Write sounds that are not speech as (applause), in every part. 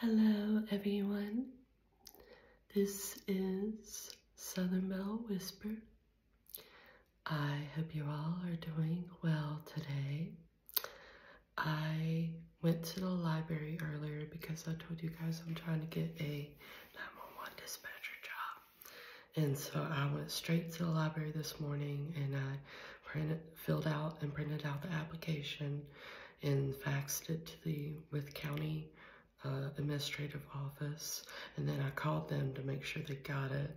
Hello, everyone. This is Southern Belle Whisper. I hope you all are doing well today. I went to the library earlier because I told you guys I'm trying to get a 911 dispatcher job. And so I went straight to the library this morning and I printed, filled out and printed out the application and faxed it to the with county uh, administrative office. And then I called them to make sure they got it.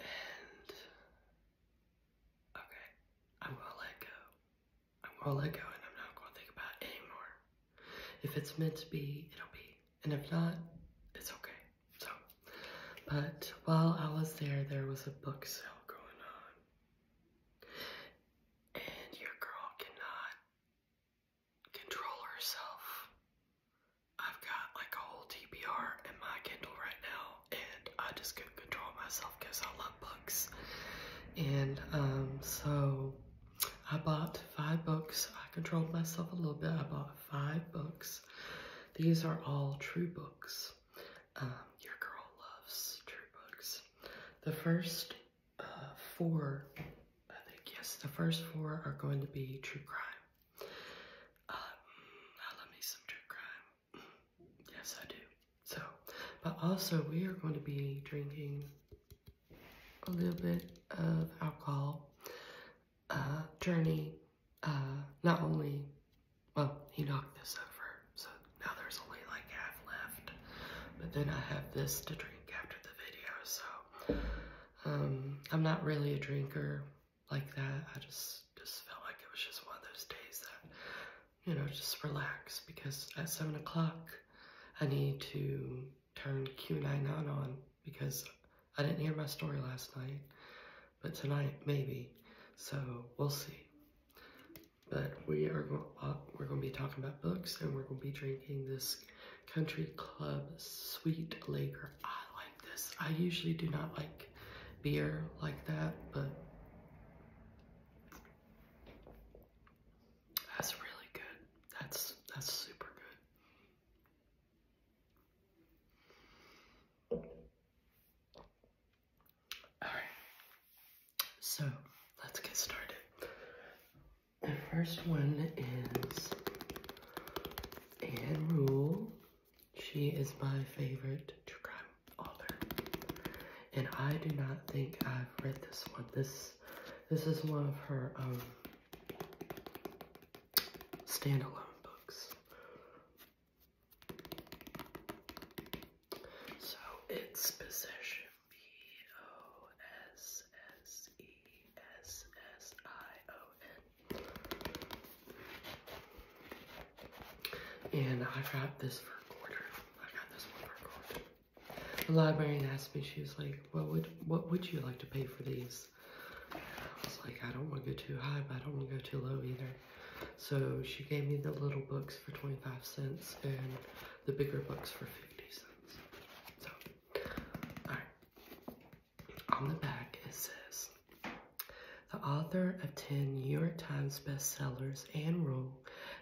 And okay, I'm gonna let go. I'm gonna let go and I'm not gonna think about anymore. If it's meant to be, it'll be. And if not, it's okay. So, but while I was there, there was a book sale going on and your girl cannot control herself. I've got like a whole TBR in my Kindle right now, and I just couldn't control myself because I love books. And um, so I bought five books. I controlled myself a little bit. I bought five books. These are all true books. Um, your girl loves true books. The first uh, four, I think, yes, the first four are going to be true crime. Um, I love me some true crime. Yes, I do. So, but also we are going to be drinking a little bit of alcohol. Uh, journey, uh, not only well, he knocked this over, so now there's only like half left. But then I have this to drink after the video, so um, I'm not really a drinker like that. I just just felt like it was just one of those days that you know just relax because at seven o'clock I need to turn Q99 on because I didn't hear my story last night, but tonight maybe. So we'll see. But we are going uh, we're going to be talking about books, and we're going to be drinking this Country Club Sweet Lager. I like this. I usually do not like beer like that, but that's really good. That's that's super good. Alright, so let's get started. The first one is Anne Rule. She is my favorite crime author. And I do not think I've read this one. This this is one of her um standalone books. So it's possession P O S S E S S I O N. And I got this for a I got this for a quarter. The librarian asked me, she was like, What would what would you like to pay for these? I was like, I don't want to go too high, but I don't want to go too low either. So she gave me the little books for 25 cents and the bigger books for 50 cents. So, alright. On the back it says, the author of 10 New York Times bestsellers, Anne Rule,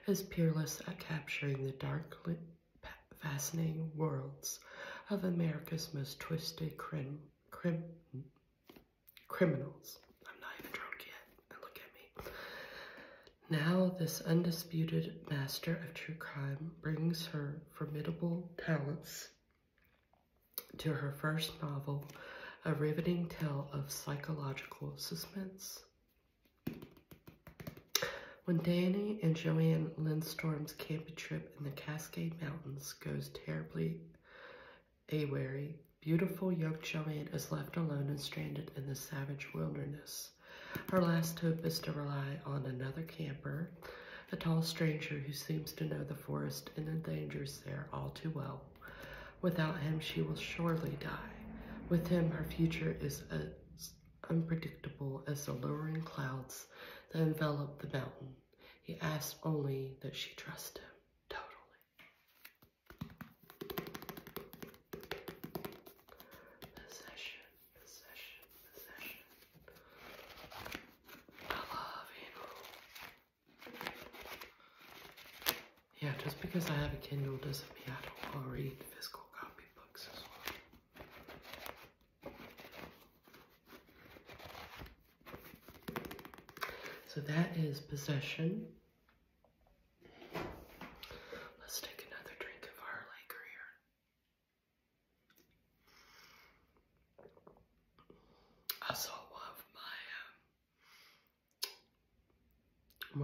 is peerless at capturing the dark, fascinating worlds of America's most twisted crim, crim criminals. I'm not even drunk yet, look at me. Now, this undisputed master of true crime brings her formidable talents to her first novel, a riveting tale of psychological suspense. When Danny and Joanne Lindstrom's camping trip in the Cascade Mountains goes terribly Awary, beautiful young Joanne is left alone and stranded in the savage wilderness. Her last hope is to rely on another camper, a tall stranger who seems to know the forest and the dangers there all too well. Without him, she will surely die. With him, her future is as unpredictable as the lowering clouds that envelop the mountain. He asks only that she trust him. Totally. Possession, possession, possession. I love Andrew. Yeah, just because I have a Kindle doesn't mean I don't already read physical copy books as well. So that is possession. Let's take another drink of our liquor here. I saw one of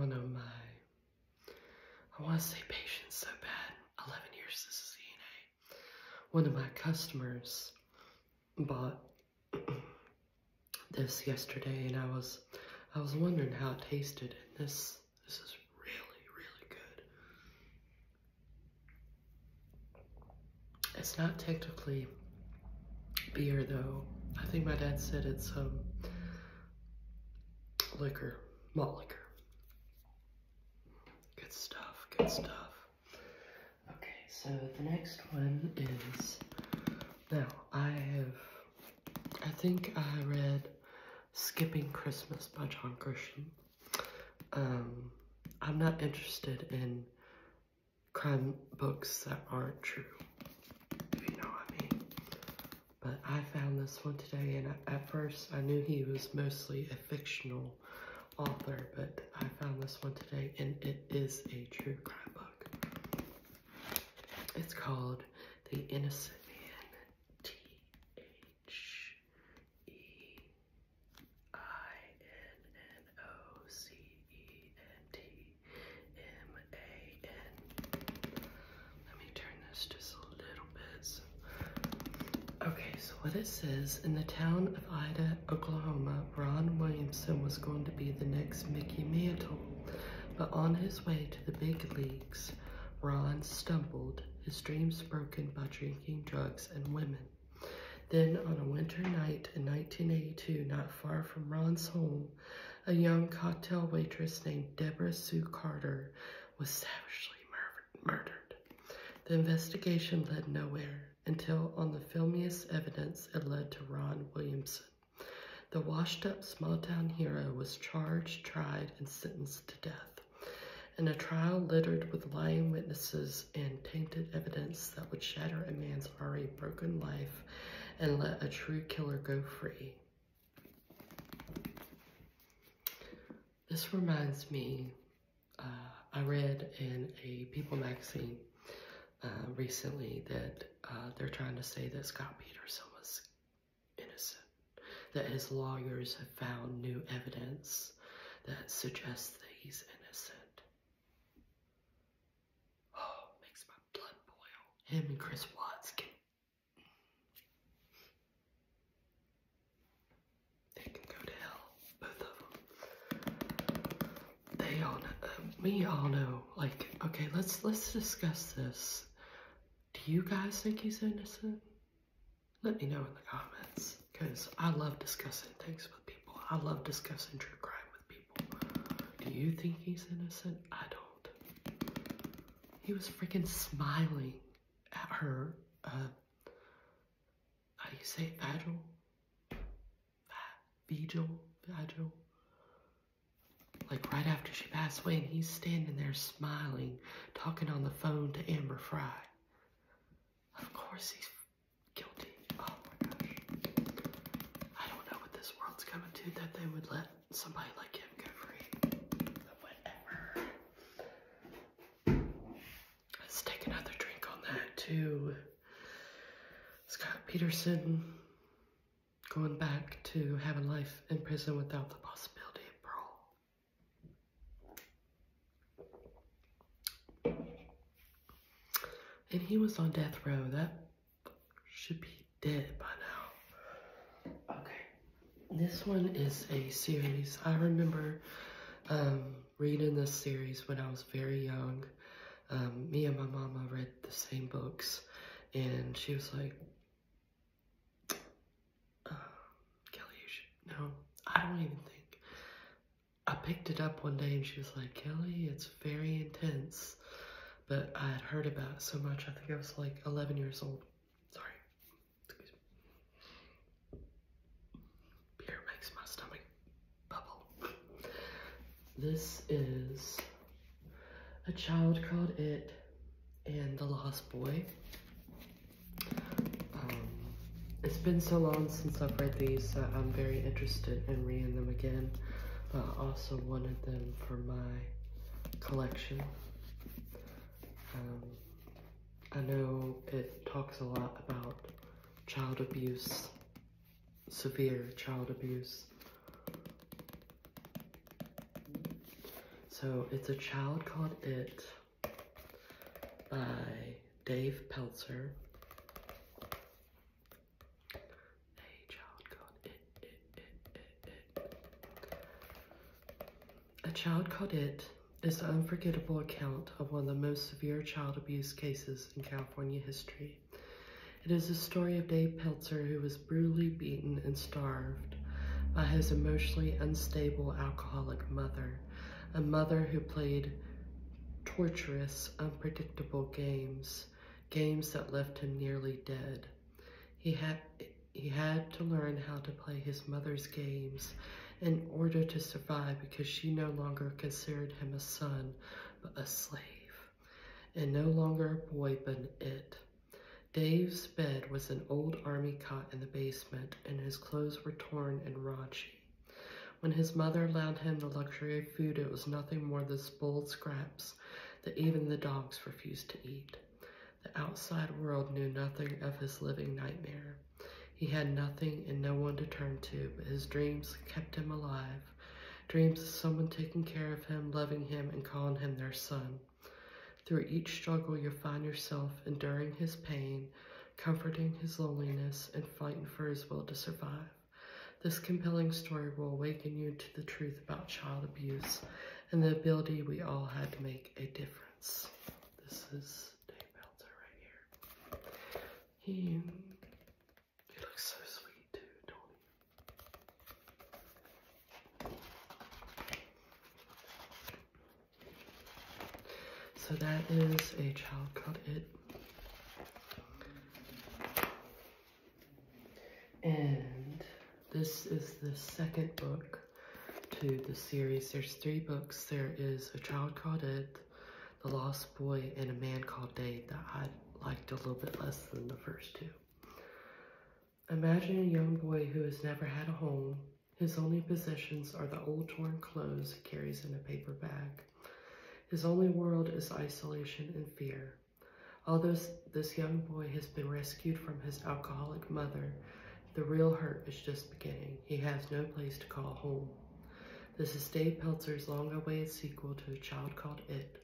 my, um, one of my, I want to say patients so bad, 11 years This is CNA. One of my customers bought this yesterday and I was I was wondering how it tasted and this this is really really good. It's not technically beer though. I think my dad said it's um liquor, malt liquor. Good stuff, good stuff. Okay, so the next one is now I have I think I read Skipping Christmas by John Grisham. Um I'm not interested in crime books that aren't true, if you know what I mean. But I found this one today and at first I knew he was mostly a fictional author, but I found this one today and it is a true crime book. It's called The Innocent Man, Let me turn this just a little bit. Okay, what it says. In the town of Ida, Oklahoma, Ron Williamson was going to be the next Mickey Mantle. But on his way to the big leagues, Ron stumbled, his dreams broken by drinking, drugs, and women. Then, on a winter night in 1982, not far from Ron's home, a young cocktail waitress named Deborah Sue Carter was savagely murdered. The investigation led nowhere until on the filmiest evidence it led to Ron Williamson. The washed-up small-town hero was charged, tried, and sentenced to death in a trial littered with lying witnesses and tainted evidence that would shatter a man's already broken life and let a true killer go free. This reminds me uh, I read in a People magazine uh, recently that uh, they're trying to say that Scott Peterson was innocent, that his lawyers have found new evidence that suggests that he's innocent. Oh, (sighs) makes my blood boil. Him and Chris Watts they can go to hell, both of them. They all know, uh, all know. Like, okay, let's let's discuss this. Do you guys think he's innocent? Let me know in the comments, cause I love discussing things with people. I love discussing true crime with people. Do you think he's innocent? I don't. He was freaking smiling at her. Uh, how do you say Vigil? Vigil? Vigil? Like right after she passed away and he's standing there smiling, talking on the phone to Amber Fry. Of course he's guilty. Oh my gosh. I don't know what this world's coming to that they would let somebody like him get free. Let's take another drink on that too. Scott Peterson going back to having life in prison without the possibility of parole. And he was on death row. That should be dead by now. Okay. This one is a series. I remember um, reading this series when I was very young. Um, me and my mama read the same books, and she was like, uh, Kelly, no, I don't even think. I picked it up one day, and she was like, Kelly, it's very intense, but I had heard about so much, I think I was like 11 years old. Sorry, Beer makes my stomach bubble. This is A Child Called It and The Lost Boy. Um, it's been so long since I've read these that I'm very interested in reading them again. But I also wanted them for my collection. Um, I know it talks a lot about child abuse, severe child abuse. So it's a child called It by Dave Pelzer. A child called it. A Child Called It is the unforgettable account of one of the most severe child abuse cases in California history. It is the story of Dave Peltzer, who was brutally beaten and starved by his emotionally unstable alcoholic mother, a mother who played torturous, unpredictable games, games that left him nearly dead. He had, he had to learn how to play his mother's games in order to survive because she no longer considered him a son, but a slave, and no longer a boy, but an it. Dave's bed was an old army cot in the basement, and his clothes were torn and ragged. When his mother allowed him the luxury of food, it was nothing more than spoiled scraps that even the dogs refused to eat. The outside world knew nothing of his living nightmare. He had nothing and no one to turn to, but his dreams kept him alive. Dreams of someone taking care of him, loving him, and calling him their son. Through each struggle, you find yourself enduring his pain, comforting his loneliness, and fighting for his will to survive. This compelling story will awaken you to the truth about child abuse and the ability we all had to make a difference. This is Dave Meltzer right here. He, he looks so sweet too, do So that is a child called It. And this is the second book to the series. There's three books. There is A Child Called Ed, The Lost Boy, and A Man Called Dave that I liked a little bit less than the first two. Imagine a young boy who has never had a home. His only possessions are the old torn clothes he carries in a paper bag. His only world is isolation and fear. Although this young boy has been rescued from his alcoholic mother, the real hurt is just beginning. He has no place to call home. This is Dave Pelzer's long-awaited sequel to A Child Called It.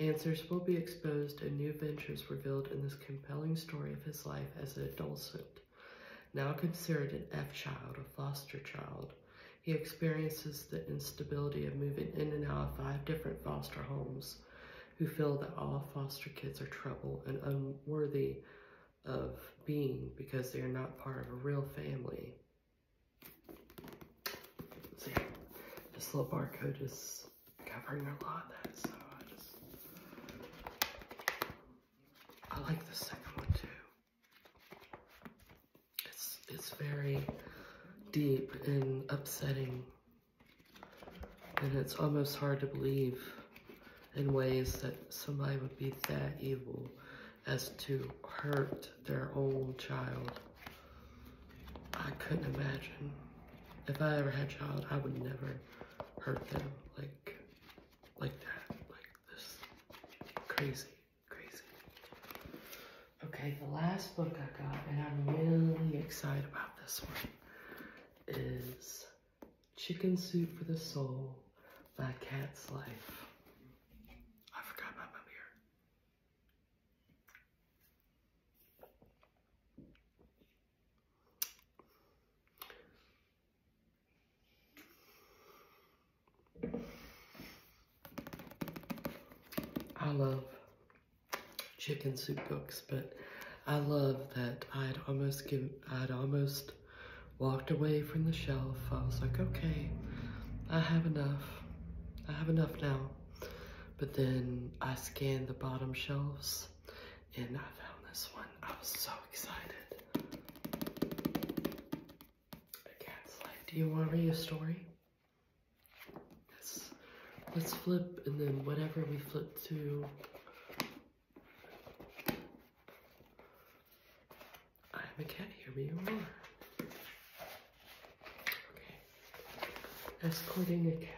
Answers will be exposed and new ventures revealed in this compelling story of his life as an adolescent. Now considered an F-child, a foster child, he experiences the instability of moving in and out of five different foster homes who feel that all foster kids are trouble and unworthy of being because they are not part of a real family. See, this little barcode is covering a lot of that, so I I like the second one too. It's, it's very deep and upsetting and it's almost hard to believe in ways that somebody would be that evil as to hurt their own child. I couldn't imagine. If I ever had a child, I would never hurt them like, like that, like this. Crazy, crazy. Okay, the last book I got, and I'm really excited about this one, is Chicken Soup for the Soul, by Cat's Life. I forgot about my beer. I love chicken soup books, but I love that I'd almost give. I'd almost walked away from the shelf. I was like, okay, I have enough. I have enough now. But then I scanned the bottom shelves and I found this one. I was so excited. A cat's like, do you want to read a story? let let's flip and then whatever we flip to, i can't hear me anymore. Okay. Escorting a cat.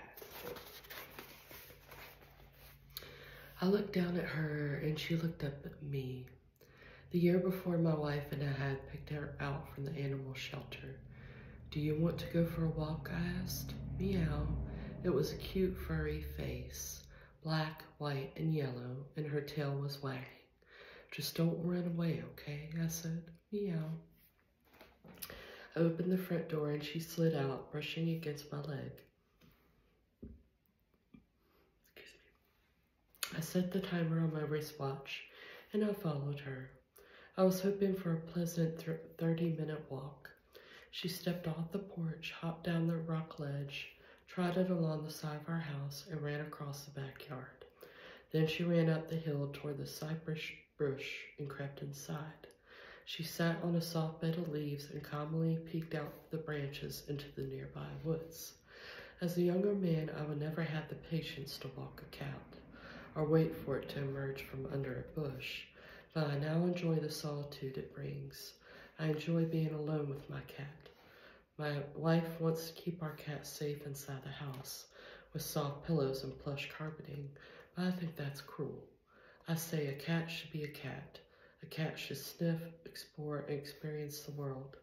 I looked down at her and she looked up at me. The year before, my wife and I had picked her out from the animal shelter. Do you want to go for a walk? I asked. Meow. It was a cute furry face, black, white, and yellow, and her tail was wagging. Just don't run away, okay? I said, meow. I opened the front door and she slid out, brushing against my leg. I set the timer on my wristwatch and I followed her. I was hoping for a pleasant 30 minute walk. She stepped off the porch, hopped down the rock ledge, trotted along the side of our house, and ran across the backyard. Then she ran up the hill toward the cypress bush and crept inside. She sat on a soft bed of leaves and calmly peeked out the branches into the nearby woods. As a younger man, I would never have the patience to walk a cat or wait for it to emerge from under a bush but I now enjoy the solitude it brings. I enjoy being alone with my cat. My wife wants to keep our cat safe inside the house with soft pillows and plush carpeting, but I think that's cruel. I say a cat should be a cat. A cat should sniff, explore, and experience the world.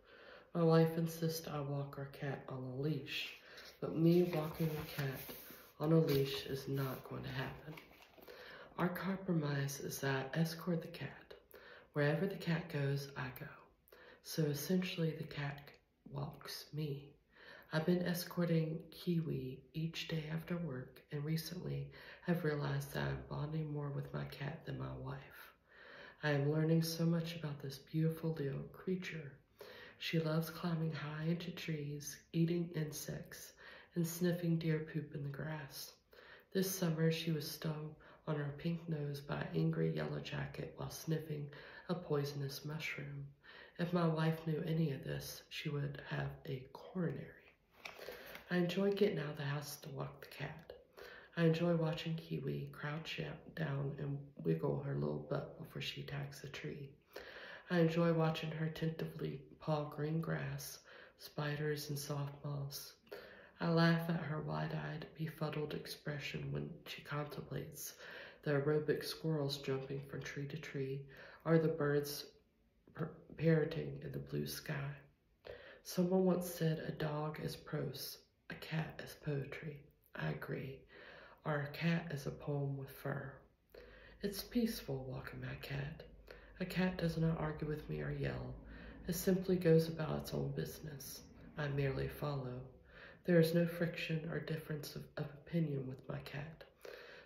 My wife insists I walk our cat on a leash, but me walking a cat on a leash is not going to happen. Our compromise is that I escort the cat. Wherever the cat goes, I go. So essentially, the cat walks me. I've been escorting Kiwi each day after work, and recently have realized that I'm bonding more with my cat than my wife. I am learning so much about this beautiful little creature she loves climbing high into trees, eating insects, and sniffing deer poop in the grass. This summer, she was stung on her pink nose by an angry yellow jacket while sniffing a poisonous mushroom. If my wife knew any of this, she would have a coronary. I enjoy getting out of the house to walk the cat. I enjoy watching Kiwi crouch down and wiggle her little butt before she attacks a tree. I enjoy watching her attentively paw green grass, spiders, and soft moss. I laugh at her wide-eyed, befuddled expression when she contemplates the aerobic squirrels jumping from tree to tree or the birds parroting in the blue sky. Someone once said a dog is prose, a cat is poetry. I agree. Or a cat is a poem with fur. It's peaceful walking my cat. A cat does not argue with me or yell. It simply goes about its own business. I merely follow. There is no friction or difference of, opinion with my cat.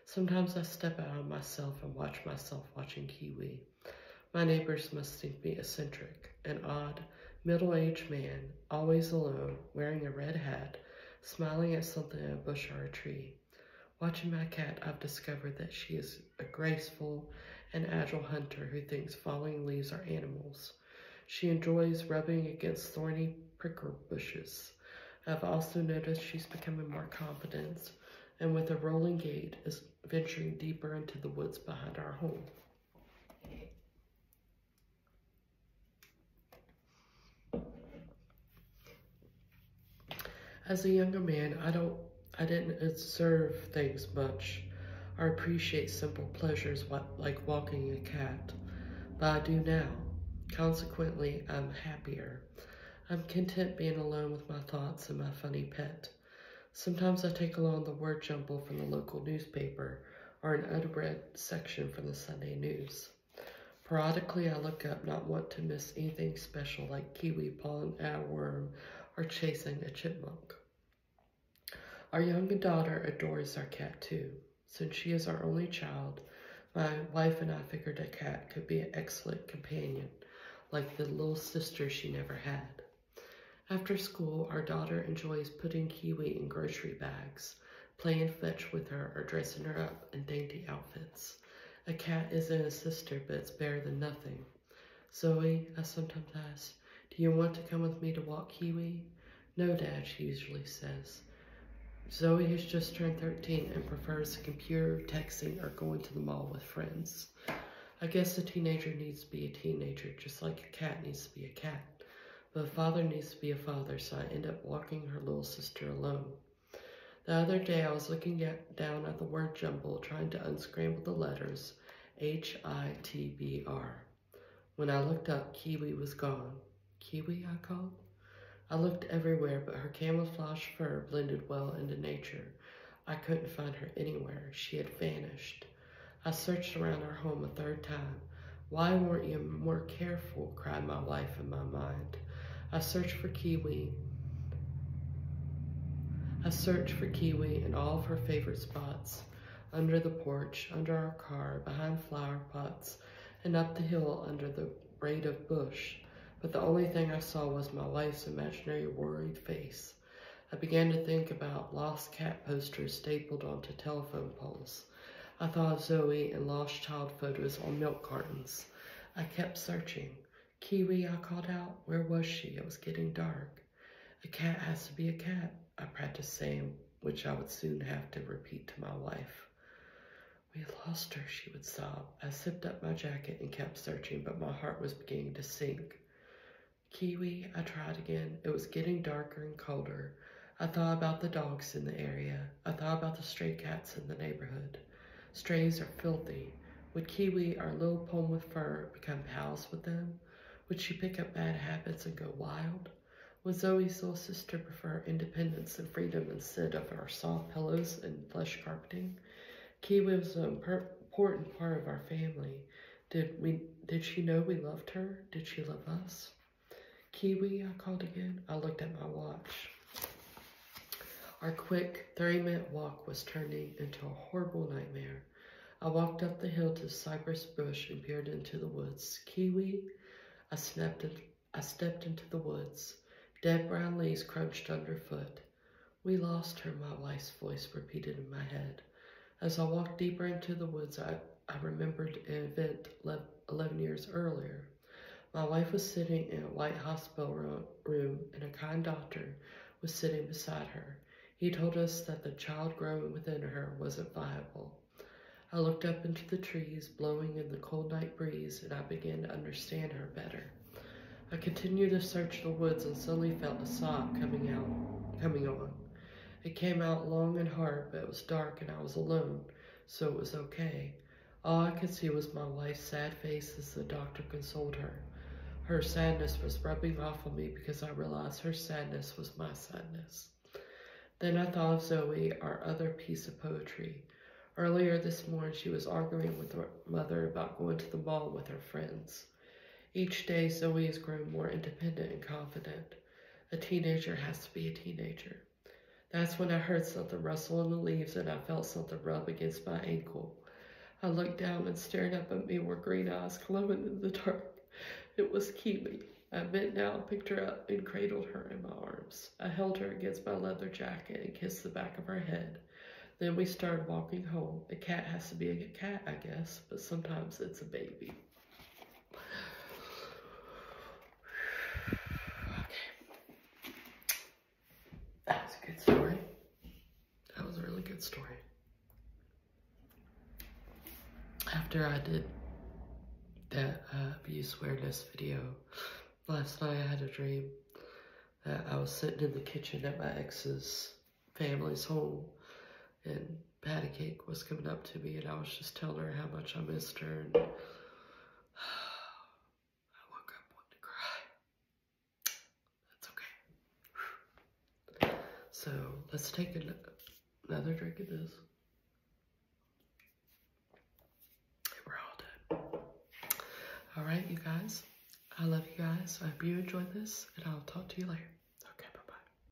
Sometimes I step out of myself and watch myself watching Kiwi. My neighbors must think me eccentric, an odd, middle-aged man, always alone, wearing a red hat, smiling at something in a bush or a tree. Watching my cat, I've discovered that she is a graceful and agile hunter who thinks falling leaves are animals. She enjoys rubbing against thorny pricker bushes. I've also noticed she's becoming more confident and with a rolling gait is venturing deeper into the woods behind our home. As a younger man, I don't I didn't observe things much or appreciate simple pleasures like walking a cat, but I do now. Consequently, I'm happier. I'm content being alone with my thoughts and my funny pet. Sometimes I take along the word jumble from the local newspaper or an unread section from the Sunday news. Periodically, I look up, not want to miss anything special like kiwi, a worm, or chasing a chipmunk. Our young daughter adores our cat too. Since she is our only child, my wife and I figured a cat could be an excellent companion, like the little sister she never had. After school, our daughter enjoys putting kiwi in grocery bags, playing fetch with her or dressing her up in dainty outfits. A cat isn't a sister, but it's better than nothing. Zoe, I sometimes ask, do you want to come with me to walk Kiwi? No, Dad, she usually says. Zoe has just turned 13 and prefers the computer, texting, or going to the mall with friends. I guess a teenager needs to be a teenager, just like a cat needs to be a cat. But a father needs to be a father, so I end up walking her little sister alone. The other day, I was looking at, down at the word jumble, trying to unscramble the letters H-I-T-B-R. When I looked up, Kiwi was gone. Kiwi, I called. I looked everywhere, but her camouflage fur blended well into nature. I couldn't find her anywhere. She had vanished. I searched around our home a third time. Why weren't you more careful? cried my wife in my mind. I searched for Kiwi. I searched for Kiwi in all of her favorite spots, under the porch, under our car, behind flower pots, and up the hill under the braid of bush. But the only thing I saw was my wife's imaginary worried face. I began to think about lost cat posters stapled onto telephone poles. I thought of Zoe and lost child photos on milk cartons. I kept searching. Kiwi, I called out. Where was she? It was getting dark. A cat has to be a cat, I practiced saying, which I would soon have to repeat to my wife. We lost her, she would sob. I zipped up my jacket and kept searching, but my heart was beginning to sink. Kiwi, I tried again. It was getting darker and colder. I thought about the dogs in the area. I thought about the stray cats in the neighborhood. Strays are filthy. Would Kiwi, our little Pom with fur, become pals with them? Would she pick up bad habits and go wild? Would Zoe's little sister prefer independence and freedom instead of our soft pillows and plush carpeting? Kiwi was an important part of our family. Did we? Did she know we loved her? Did she love us? Kiwi, I called again. I looked at my watch. Our quick 3 minute walk was turning into a horrible nightmare. I walked up the hill to cypress bush and peered into the woods. Kiwi, I stepped into the woods. Dead brown leaves crunched underfoot. We lost her, my wife's voice repeated in my head. As I walked deeper into the woods, I I remembered an event 11 years earlier. My wife was sitting in a white hospital room, and a kind doctor was sitting beside her. He told us that the child growing within her wasn't viable. I looked up into the trees blowing in the cold night breeze, and I began to understand her better. I continued to search the woods and suddenly felt a sob coming out, coming on. It came out long and hard, but it was dark and I was alone, so it was okay. All I could see was my wife's sad face as the doctor consoled her. Her sadness was rubbing off on me because I realized her sadness was my sadness. Then I thought of Zoe, our other piece of poetry. Earlier this morning, she was arguing with her mother about going to the mall with her friends. Each day, Zoe is growing more independent and confident. A teenager has to be a teenager. That's when I heard something rustle in the leaves and I felt something rub against my ankle. I looked down and stared up at me were green eyes glowing in the dark. It was Kiwi. I bent down, picked her up, and cradled her in my arms. I held her against my leather jacket and kissed the back of her head. Then we started walking home. A cat has to be a cat, I guess, but sometimes it's a baby. (sighs) That was a good story. That was a really good story. After I did that uh, abuse awareness video, last night I had a dream that I was sitting in the kitchen at my ex's family's home and patty cake was coming up to me and I was just telling her how much I missed her and (sighs) I woke up wanting to cry. That's okay. So let's take another drink of this. we're all done. All right, you guys. I love you guys. I hope you enjoyed this and I'll talk to you later.